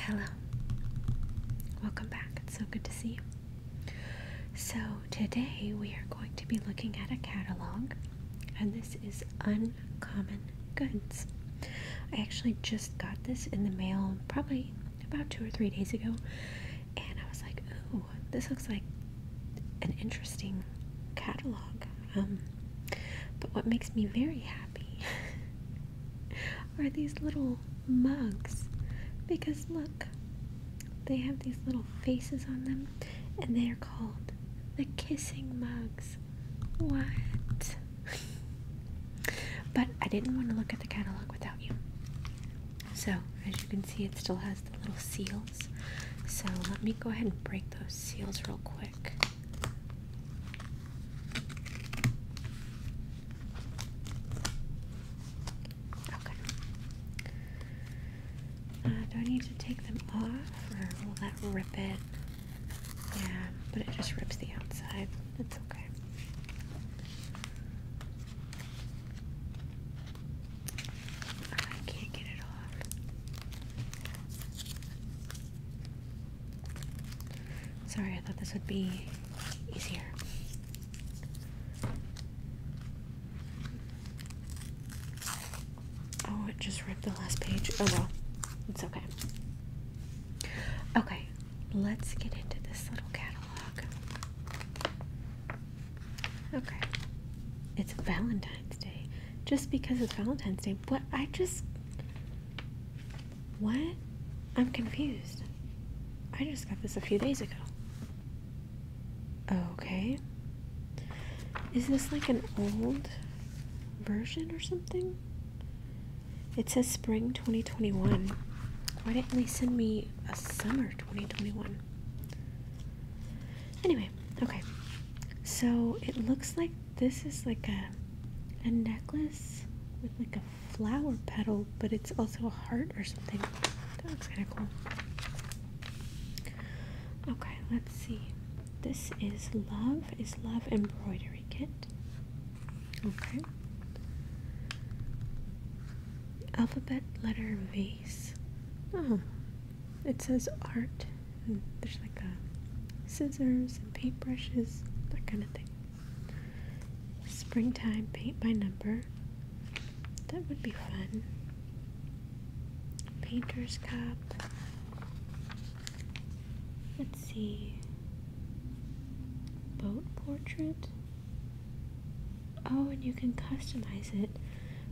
Hello. Welcome back. It's so good to see you. So, today we are going to be looking at a catalog, and this is Uncommon Goods. I actually just got this in the mail probably about two or three days ago, and I was like, ooh, this looks like an interesting catalog. Um, but what makes me very happy are these little mugs. Because look, they have these little faces on them, and they are called the kissing mugs. What? but I didn't want to look at the catalog without you. So, as you can see, it still has the little seals. So, let me go ahead and break those seals real quick. Uh, do I need to take them off or will that rip it? Yeah, but it just rips the outside. That's okay. I can't get it off. Sorry, I thought this would be easier. Oh, it just ripped the last page. Oh well, it's okay. Okay, let's get into this little catalog. Okay, it's Valentine's Day. Just because it's Valentine's Day, but I just what? I'm confused. I just got this a few days ago. Okay. Is this like an old version or something? It says spring 2021. Why didn't they send me a summer 2021? Anyway, okay. So it looks like this is like a a necklace with like a flower petal, but it's also a heart or something. That looks kind of cool. Okay, let's see. This is love is love embroidery kit. Okay. Alphabet letter vase. Oh, it says art there's like a scissors and paintbrushes, that kind of thing. Springtime paint by number. That would be fun. Painter's Cup. Let's see. Boat portrait. Oh, and you can customize it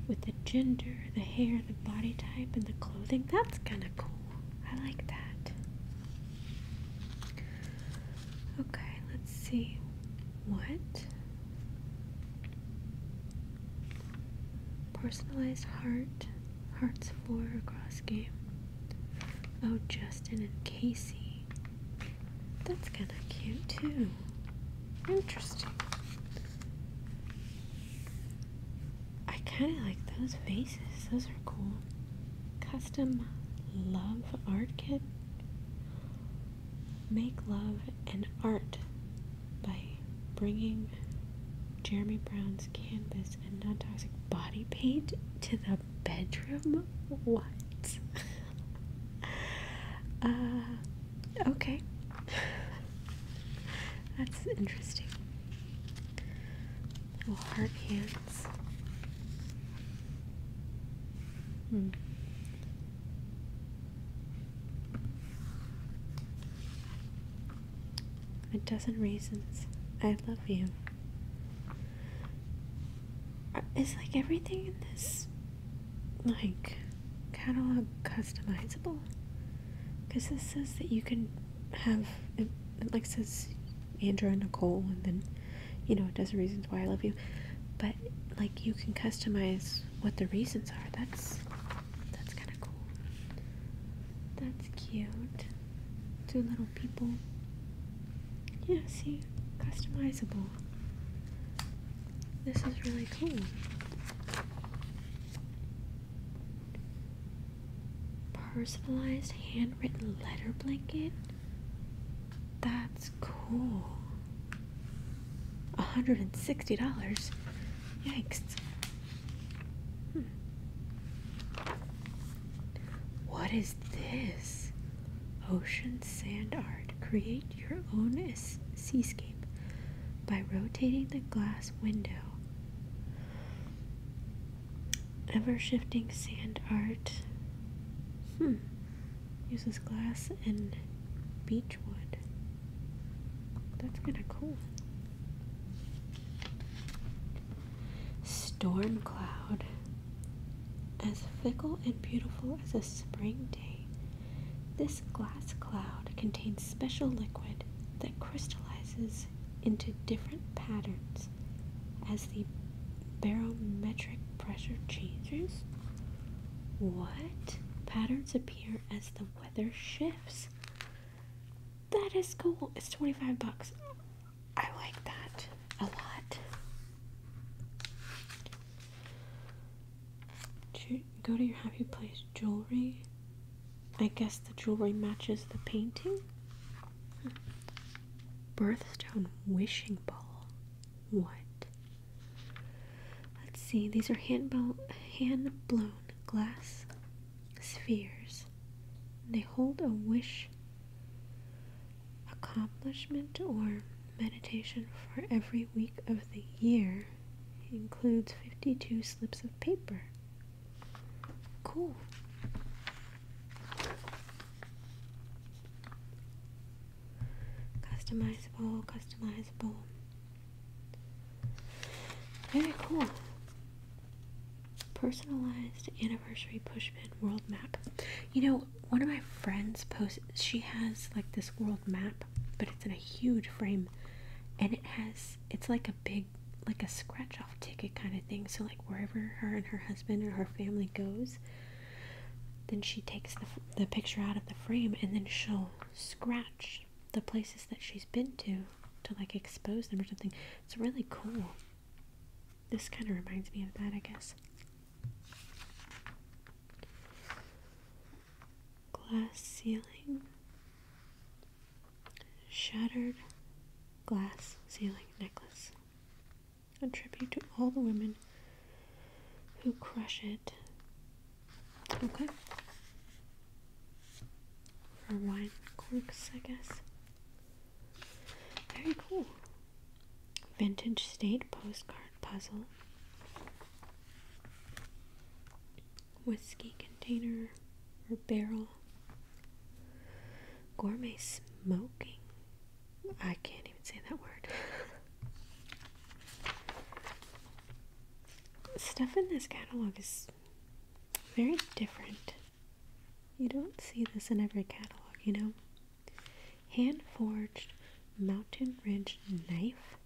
with the gender, the hair, the body type, and the clothing. That's kind of cool. I like that. Okay, let's see. What? Personalized heart, hearts four across game. Oh, Justin and Casey. That's kinda cute too. Interesting. I kind of like those vases. Those are cool. Custom love art kit. Make love and art by bringing Jeremy Brown's canvas and non toxic body paint to the bedroom. What? uh, okay. That's interesting. Little oh, heart hands. Hmm. A dozen reasons I love you. Uh, is like everything in this like catalog customizable? Because this says that you can have it, like says Andrew and Nicole, and then you know it does reasons why I love you. But like you can customize what the reasons are. That's that's kind of cool. That's cute. Two little people. Yeah, see, customizable. This is really cool personalized handwritten letter blanket? That's cool. $160? Yikes. Hmm. What is this? Ocean sand art. Create your own seascape by rotating the glass window. Ever shifting sand art. Hmm. Uses glass and beech wood. That's kind of cool. Storm cloud. As fickle and beautiful as a spring day, this glass cloud contains special liquid that crystallizes into different patterns as the barometric pressure changes? What? Patterns appear as the weather shifts. That is cool. It's 25 bucks. I like that a lot. Go to your happy place jewelry I guess the jewelry matches the painting. Birthstone wishing ball. What? Let's see. These are hand, hand blown glass spheres. They hold a wish, accomplishment, or meditation for every week of the year. includes 52 slips of paper. Cool. Customizable, customizable. Very cool. Personalized anniversary pushpin world map. You know, one of my friends posts, she has like this world map, but it's in a huge frame and it has it's like a big like a scratch off ticket kind of thing. So like wherever her and her husband or her family goes, then she takes the picture out of the frame and then she'll scratch the places that she's been to to like expose them or something. It's really cool. This kind of reminds me of that, I guess. Glass ceiling. Shattered glass ceiling necklace. A tribute to all the women who crush it. Okay. For wine corks, I guess. Very cool. Vintage state postcard puzzle. Whiskey container or barrel Gourmet smoking. I can't even say that word. Stuff in this catalog is very different. You don't see this in every catalog, you know? Hand forged mountain ridge knife.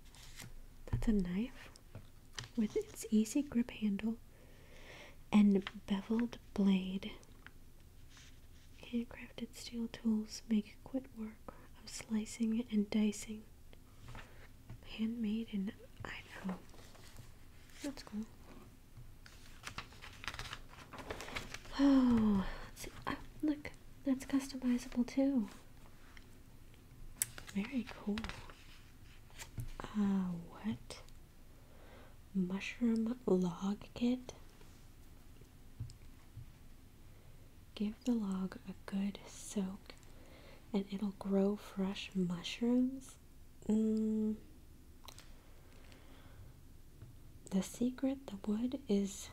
That's a knife with its easy grip handle and beveled blade. Handcrafted steel tools make quick work of slicing and dicing. Handmade and I Idaho. That's cool. Oh, oh, look, that's customizable too. Very cool. Uh, what? Mushroom log kit. Give the log a good soak and it'll grow fresh mushrooms. Mm. The secret, the wood is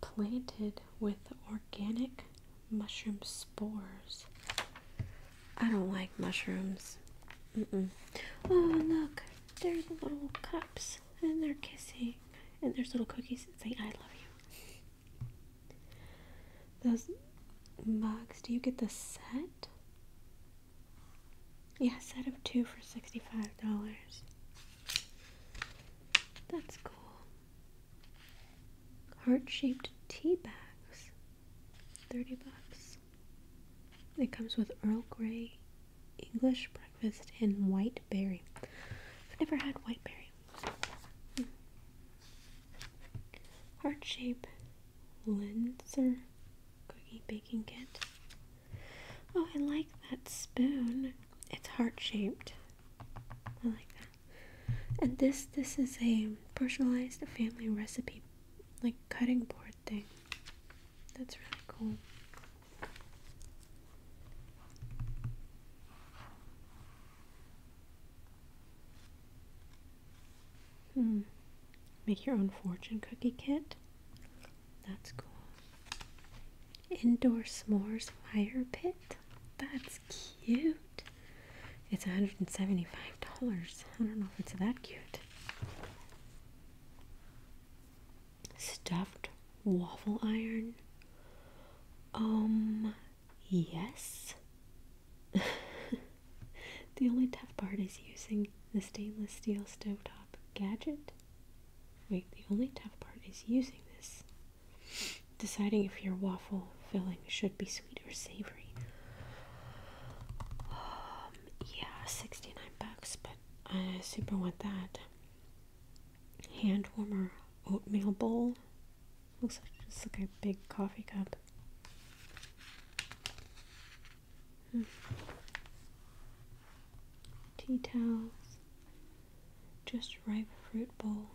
planted with organic mushroom spores. I don't like mushrooms. Mm -mm. Oh, look, there's the little cups and they're kissing, and there's little cookies that say, I love you. Those mugs, do you get the set? Yeah, set of two for $65. That's cool. Heart shaped tea bags, 30 bucks. It comes with Earl Grey, English breakfast, and white berry. I've never had white berry. Hmm. Heart shape linzer cookie baking kit. Oh, I like that spoon. It's heart shaped. I like that. And this this is a personalized family recipe like cutting board thing. That's really cool. Hmm. Make your own fortune cookie kit. That's cool. Indoor s'mores fire pit. That's cute. It's $175. I don't know if it's that cute. Stuffed waffle iron? Um, yes. the only tough part is using the stainless steel stovetop gadget. Wait, the only tough part is using this. Deciding if your waffle filling should be sweet or savory. Um, yeah, 69 bucks, but I super want that. Hand warmer oatmeal bowl. Looks like just like a big coffee cup. Hmm. Tea towels. Just ripe fruit bowl.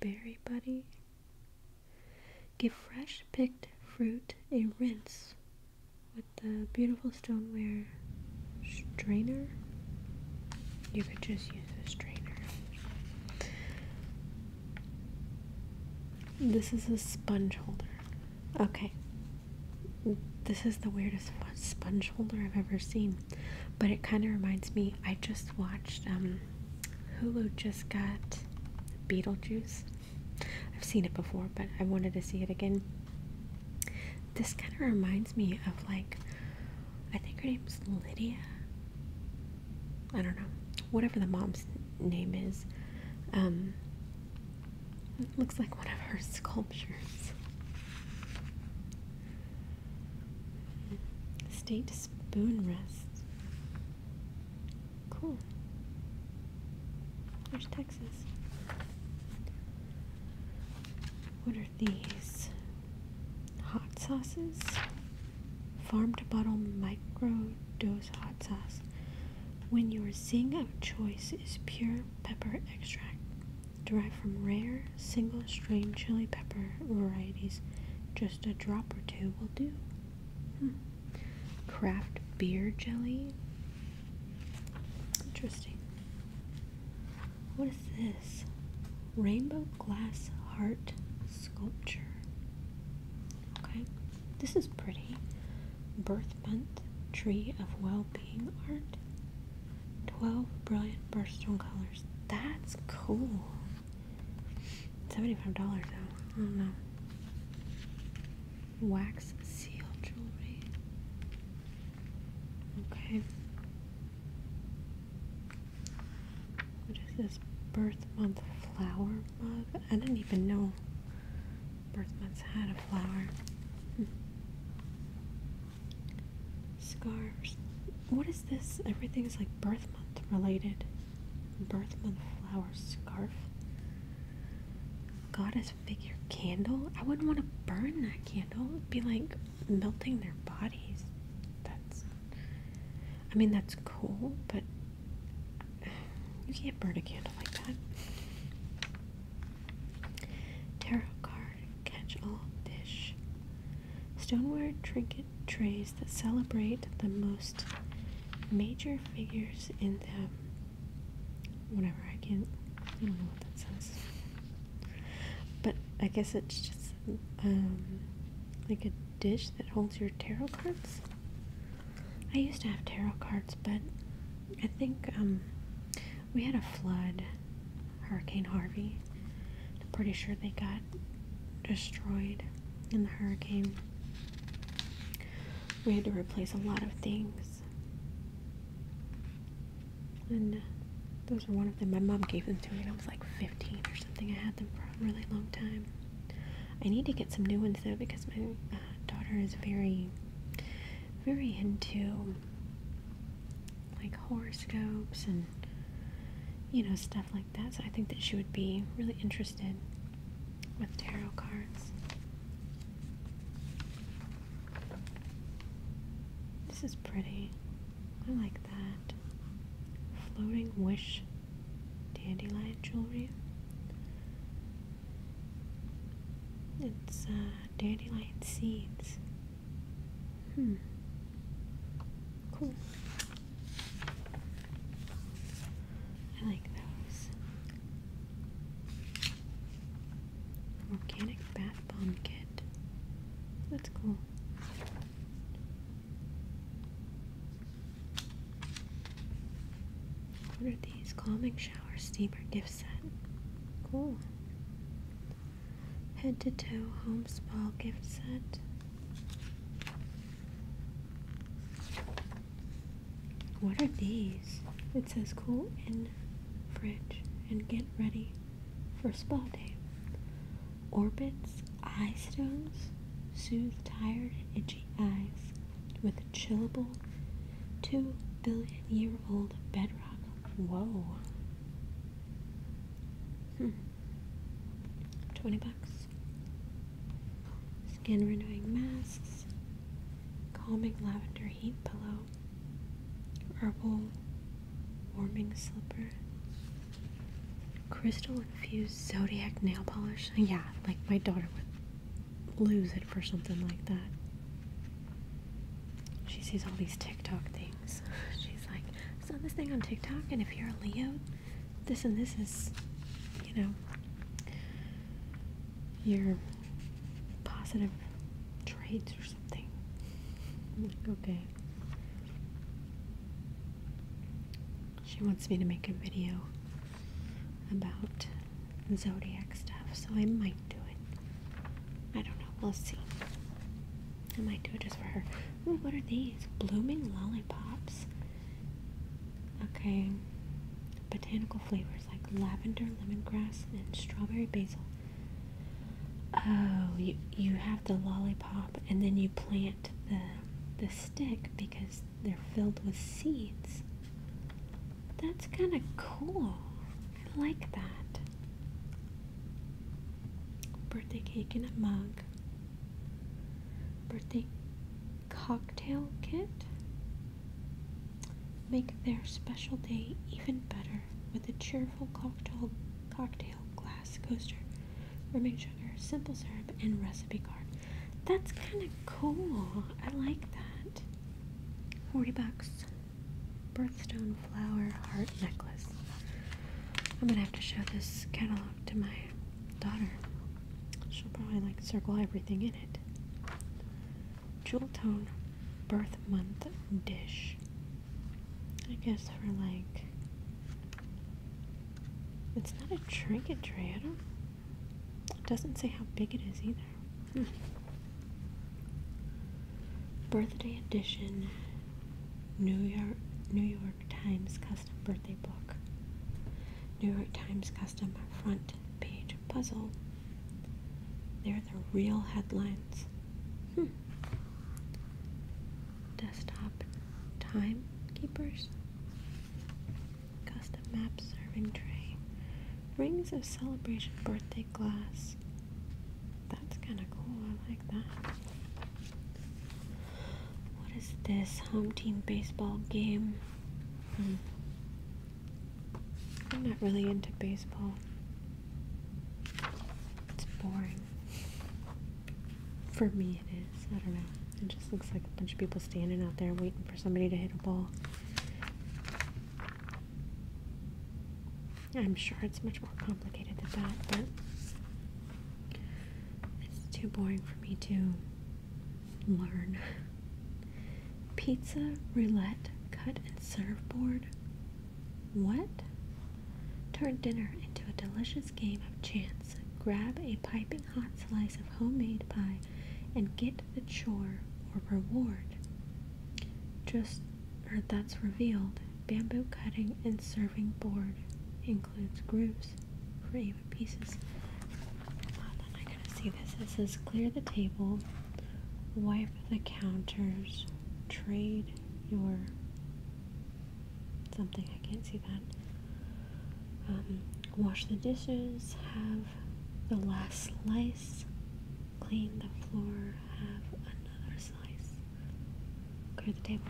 Berry buddy. Give fresh picked fruit a rinse with the beautiful stoneware strainer. You could just use a strainer. This is a sponge holder. Okay. This is the weirdest sponge holder I've ever seen. But it kind of reminds me, I just watched um, Hulu just got Beetlejuice. I've seen it before, but I wanted to see it again. This kind of reminds me of like, I think her name's Lydia. I don't know, whatever the mom's name is. Um, looks like one of her sculptures. State spoon rest. Cool. Where's Texas? What are these? Hot sauces? Farm to bottle micro dose hot sauce. When your zing of choice is pure pepper extract derived from rare single strain chili pepper varieties, just a drop or two will do. Hmm. Craft beer jelly. Interesting. What is this? Rainbow glass heart sculpture. Okay, this is pretty. Birth month, tree of well being art. 12 brilliant birthstone colors. That's cool. Seventy-five dollars though. I don't know. Wax seal jewelry. Okay. What is this birth month flower mug? I didn't even know birth months had a flower. Hmm. Scarves. What is this? Everything is like birth month related. Birth month flower scarf, goddess figure candle. I wouldn't want to burn that candle. It'd be like melting their bodies. That's, I mean, that's cool, but you can't burn a candle like that. Tarot card, catch all dish, stoneware trinket, trays that celebrate the most major figures in the. Whatever, I can't, I don't know what that says. But I guess it's just um, like a dish that holds your tarot cards. I used to have tarot cards, but I think um, we had a flood, Hurricane Harvey. I'm pretty sure they got destroyed in the hurricane. We had to replace a lot of things. And those were one of them. My mom gave them to me when I was like 15 or something. I had them for a really long time. I need to get some new ones though because my uh, daughter is very, very into like horoscopes and you know stuff like that. So I think that she would be really interested with tarot cards. This is pretty. I like that. Floating wish dandelion jewelry. It's uh, dandelion seeds. Hmm. Cool. I like those. Organic bat bomb kit. That's cool. What these? Calming shower steamer gift set. Cool. Head to toe home spa gift set. What are these? It says cool in fridge and get ready for spa day. Orbits eye stones soothe tired and itchy eyes with chillable two billion year old bedrock. Whoa. Hmm. 20 bucks. Skin renewing masks, calming lavender heat pillow, herbal warming slipper, crystal infused zodiac nail polish. Yeah, like my daughter would lose it for something like that. She sees all these TikTok things. She's like, I saw this thing on TikTok, and if you're a Leo, this and this is, you know, your positive traits or something. okay. She wants me to make a video about zodiac stuff, so I might do it. I don't know. We'll see. I might do it just for her. Ooh, what are these? Blooming lollipops. Okay. Botanical flavors like lavender, lemongrass, and strawberry basil. Oh, you, you have the lollipop and then you plant the the stick because they're filled with seeds. That's kind of cool. I like that. Birthday cake in a mug. Birthday cocktail kit. Make their special day even better with a cheerful cocktail cocktail glass coaster, rubbing sugar, simple syrup, and recipe card. That's kind of cool. I like that. 40 bucks. Birthstone flower heart necklace. I'm gonna have to show this catalog to my daughter. She'll probably like circle everything in it. Jewel tone birth month dish. I guess for like it's not a trinket tray, I don't it doesn't say how big it is either. Hmm. Birthday edition New York New York Times custom birthday book, New York Times custom front page puzzle. They're the real headlines. Hmm. Desktop timekeepers. Custom map serving tray. Rings of celebration birthday glass. That's kind of cool. I like that. What is this? Home team baseball game. Hmm. I'm not really into baseball. It's boring. For me, it is. I don't know. It just looks like a bunch of people standing out there waiting for somebody to hit a ball. I'm sure it's much more complicated than that, but it's too boring for me too learn. Pizza, roulette, cut and serve board. What? Turn dinner into a delicious game of chance. Grab a piping hot slice of homemade pie and get the chore or reward. Just, heard that's revealed. Bamboo cutting and serving board includes grooves, favorite pieces. Hold on, I got see this. It says clear the table, wipe the counters, trade your something. I can't see that. Um, wash the dishes, have the last slice, clean the floor, have another slice, clear the table.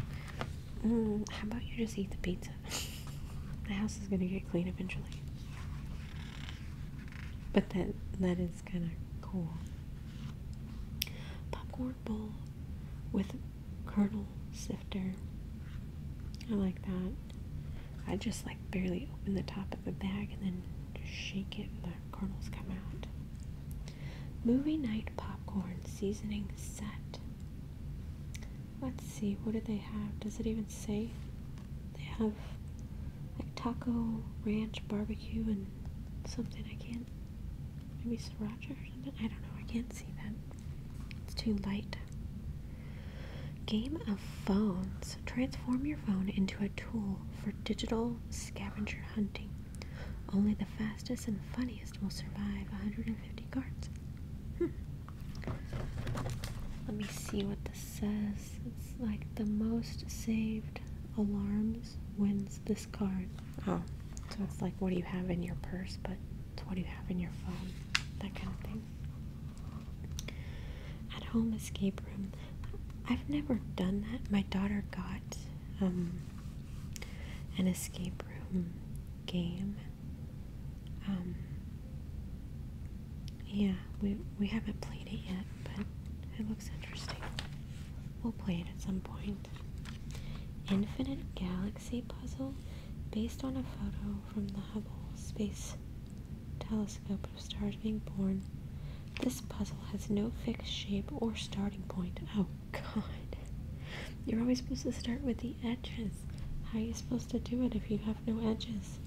Mm, how about you just eat the pizza? the house is gonna get clean eventually. But that that is kind of cool. Popcorn bowl with kernel sifter. I like that. I just like barely open the top of the bag and then just shake it and the kernels come out. Movie night popcorn seasoning set. Let's see, what do they have? Does it even say? They have like taco, ranch, barbecue, and something I can't. Maybe sriracha or something? I don't know, I can't see that. It's too light. Game of Phones. Transform your phone into a tool for digital scavenger hunting. Only the fastest and funniest will survive 150 cards. Hmm. Let me see what this says. It's like the most saved alarms wins this card. Oh, so it's like what do you have in your purse, but it's what do you have in your phone, that kind of thing. At home escape room. I've never done that. My daughter got um, an escape room game um, yeah, we, we haven't played it yet, but it looks interesting. We'll play it at some point. Infinite Galaxy Puzzle, based on a photo from the Hubble Space Telescope of stars being born. This puzzle has no fixed shape or starting point. Oh, God. You're always supposed to start with the edges. How are you supposed to do it if you have no edges.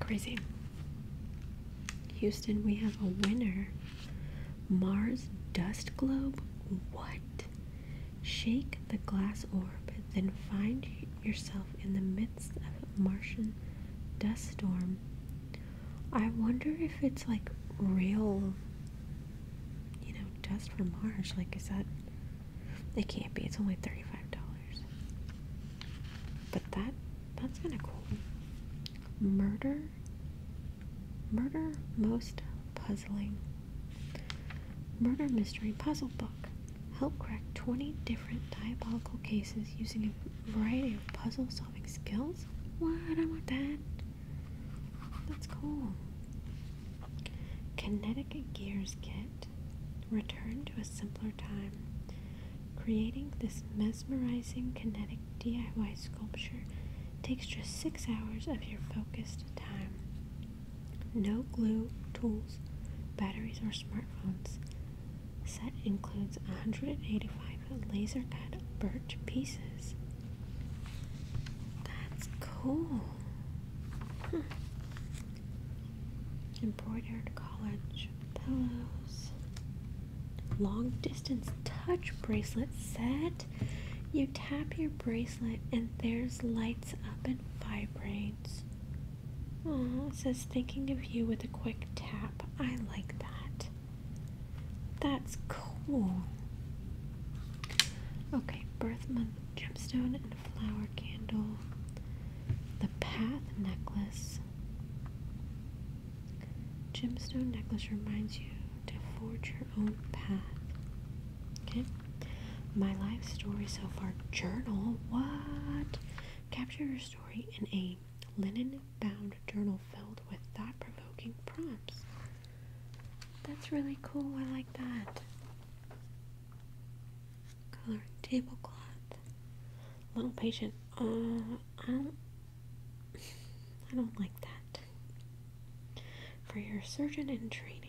Crazy. Houston, we have a winner. Mars dust globe? What? Shake the glass orb, then find yourself in the midst of a Martian dust storm. I wonder if it's like real, you know, dust from Mars. Like, is that it can't be. It's only $35. But that that's kind of cool. Murder Murder most puzzling. Murder mystery puzzle book. Help crack 20 different diabolical cases using a variety of puzzle solving skills. What? I want that. That's cool. Kinetic gears Kit. Return to a simpler time, creating this mesmerizing kinetic DIY sculpture takes just six hours of your focused time. No glue, tools, batteries, or smartphones. Set includes 185 laser cut birch pieces. That's cool. Hmm embroidered college pillows, long distance touch bracelet set. You tap your bracelet and there's lights up and vibrates. Aww, says thinking of you with a quick tap. I like that. That's cool. Okay, birth month gemstone flower candle, the path necklace. Gemstone necklace reminds you to forge your own path. Okay? My life story so far journal. What? Capture your story in a linen bound journal filled with thought provoking prompts. That's really cool. I like that. Coloring tablecloth. Little patient. Uh, I don't. I don't like that. For your surgeon in training.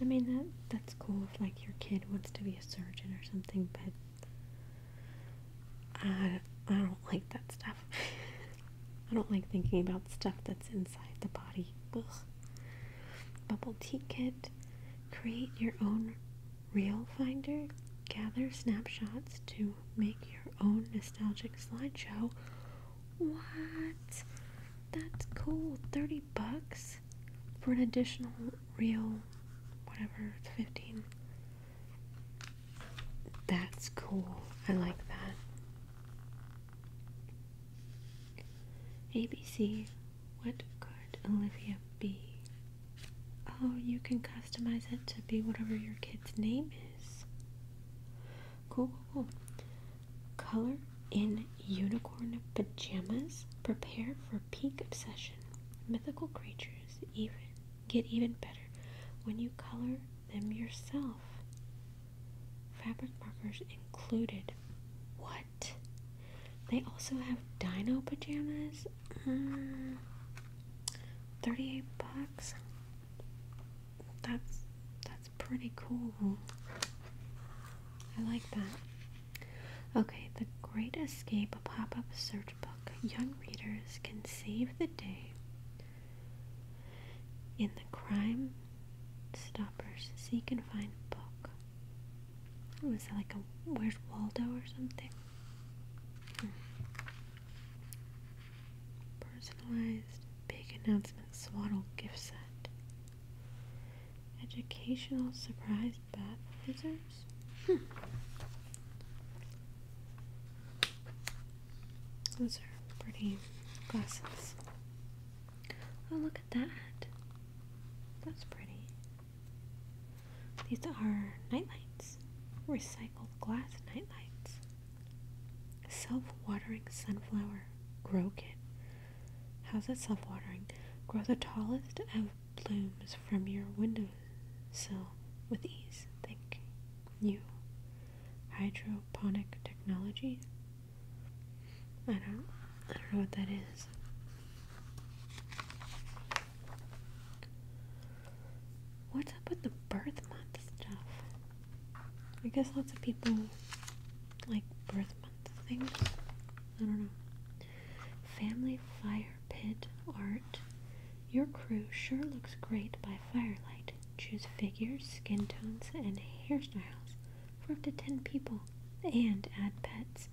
I mean that that's cool if like your kid wants to be a surgeon or something, but I I don't like that stuff. I don't like thinking about stuff that's inside the body. Ugh. Bubble Tea Kit, create your own reel finder, gather snapshots to make your own nostalgic slideshow. What? That's cool. 30 bucks for an additional reel, whatever, 15. That's cool. I like that. ABC. What could Olivia be? Oh, you can customize it to be whatever your kid's name is. Cool, cool, cool. Color in unicorn pajamas. Prepare for peak obsession. Mythical creatures even get even better when you color them yourself. Fabric markers included. What? They also have dino pajamas? Uh, 38 bucks? That's that's pretty cool. I like that. Okay, the Great Escape a pop-up search book. Young readers can save the day in the crime stoppers. Seek and find book. Was that like a Where's Waldo or something? Personalized big announcement swaddle gift set. Educational surprise bath scissors. Hmm. Those are pretty glasses. Oh, look that. That's pretty. These are nightlights, Recycled glass nightlights. Self-watering sunflower grow kit. How's it self-watering? Grow the tallest of blooms from your windowsill with ease. Think, you. Hydroponic technology. I don't I don't know what that is. What's up with the birth month stuff? I guess lots of people like birth month things. I don't know. Family fire pit art. Your crew sure looks great by firelight. Choose figures, skin tones, and hairstyles for up to 10 people and add pets.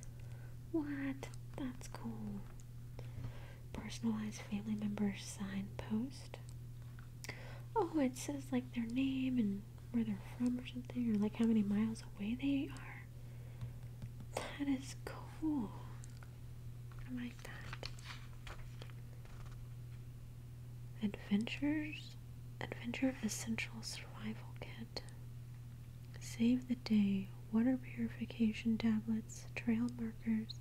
What? That's cool. Personalized family members sign post. Oh, it says like their name and where they're from or something, or like how many miles away they are. That is cool. I like that. Adventures? Adventure Essential Survival Kit. Save the day, water purification tablets, trail markers,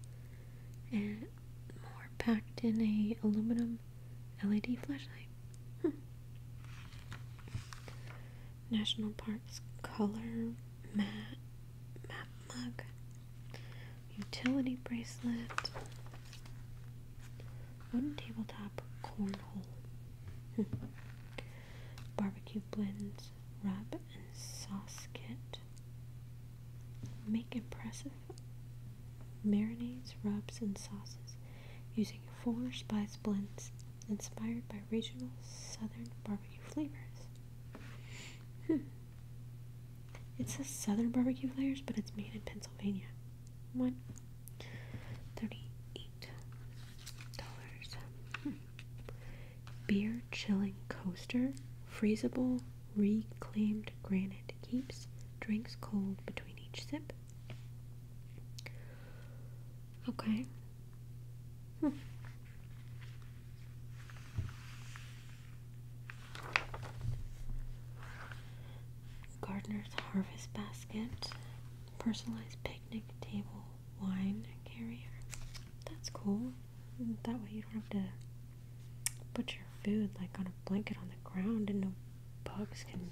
and more packed in a aluminum LED flashlight. Hmm. National Parks color mat map mug, utility bracelet, Wooden tabletop cornhole. Hmm. Barbecue blends, rub and sauce kit. Make impressive marinades, rubs, and sauces using four spice blends inspired by regional southern barbecue flavors. Hmm. It says southern barbecue flavors, but it's made in Pennsylvania one thirty-eight dollars. Beer chilling coaster, freezable, reclaimed granite keeps drinks cold between each sip. Okay gardener's harvest basket, personalized picnic table wine carrier. That's cool. That way you don't have to put your food like on a blanket on the ground and no bugs can.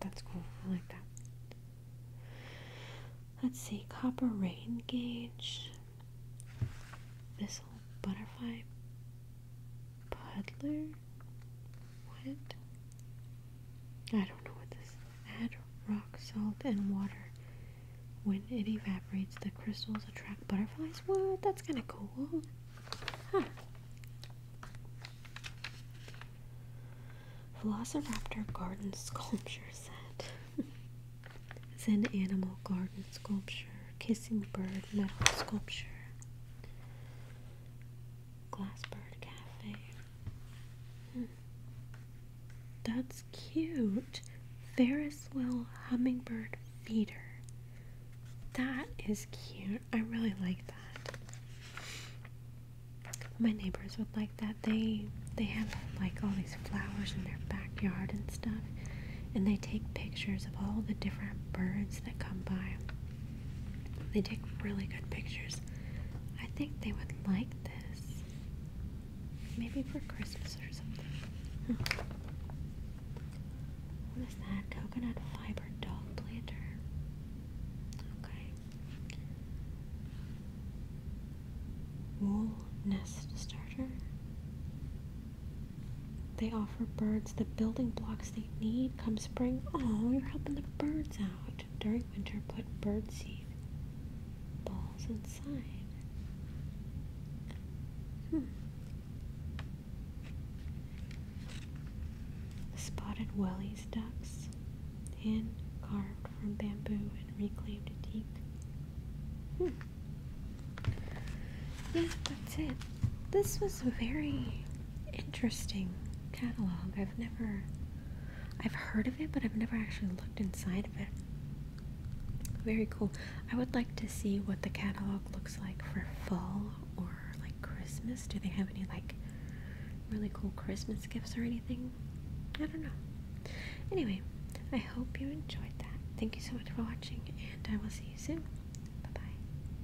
That's cool. I like that. Let's see, copper rain gauge, this little butterfly puddler, what? I don't know what this Add rock salt and water. When it evaporates, the crystals attract butterflies. What? That's kind of cool. Huh. Velociraptor garden sculpture set. Zen animal garden sculpture. Kissing bird metal sculpture. Glassbird Cafe. Hmm. That's cute. Ferris Wheel Hummingbird Feeder. That is cute. I really like that. My neighbors would like that. They they have like all these flowers in their backyard and stuff. And they take pictures of all the different birds that come by. They take really good pictures. I think they would like this. Maybe for Christmas or something. Hmm. What is that? Coconut fiber dog planter. Okay. Wool nest starter. They offer birds the building blocks they need come spring. Oh, you're helping the birds out. During winter, put birdseed balls inside. Hmm. Spotted wellies ducks, hand carved from bamboo and reclaimed teak. Hmm. Yeah, that's it. This was a very interesting catalog. I've never I've heard of it, but I've never actually looked inside of it. Very cool. I would like to see what the catalog looks like for fall or like Christmas. Do they have any like really cool Christmas gifts or anything? I don't know. Anyway, I hope you enjoyed that. Thank you so much for watching, and I will see you soon. Bye bye.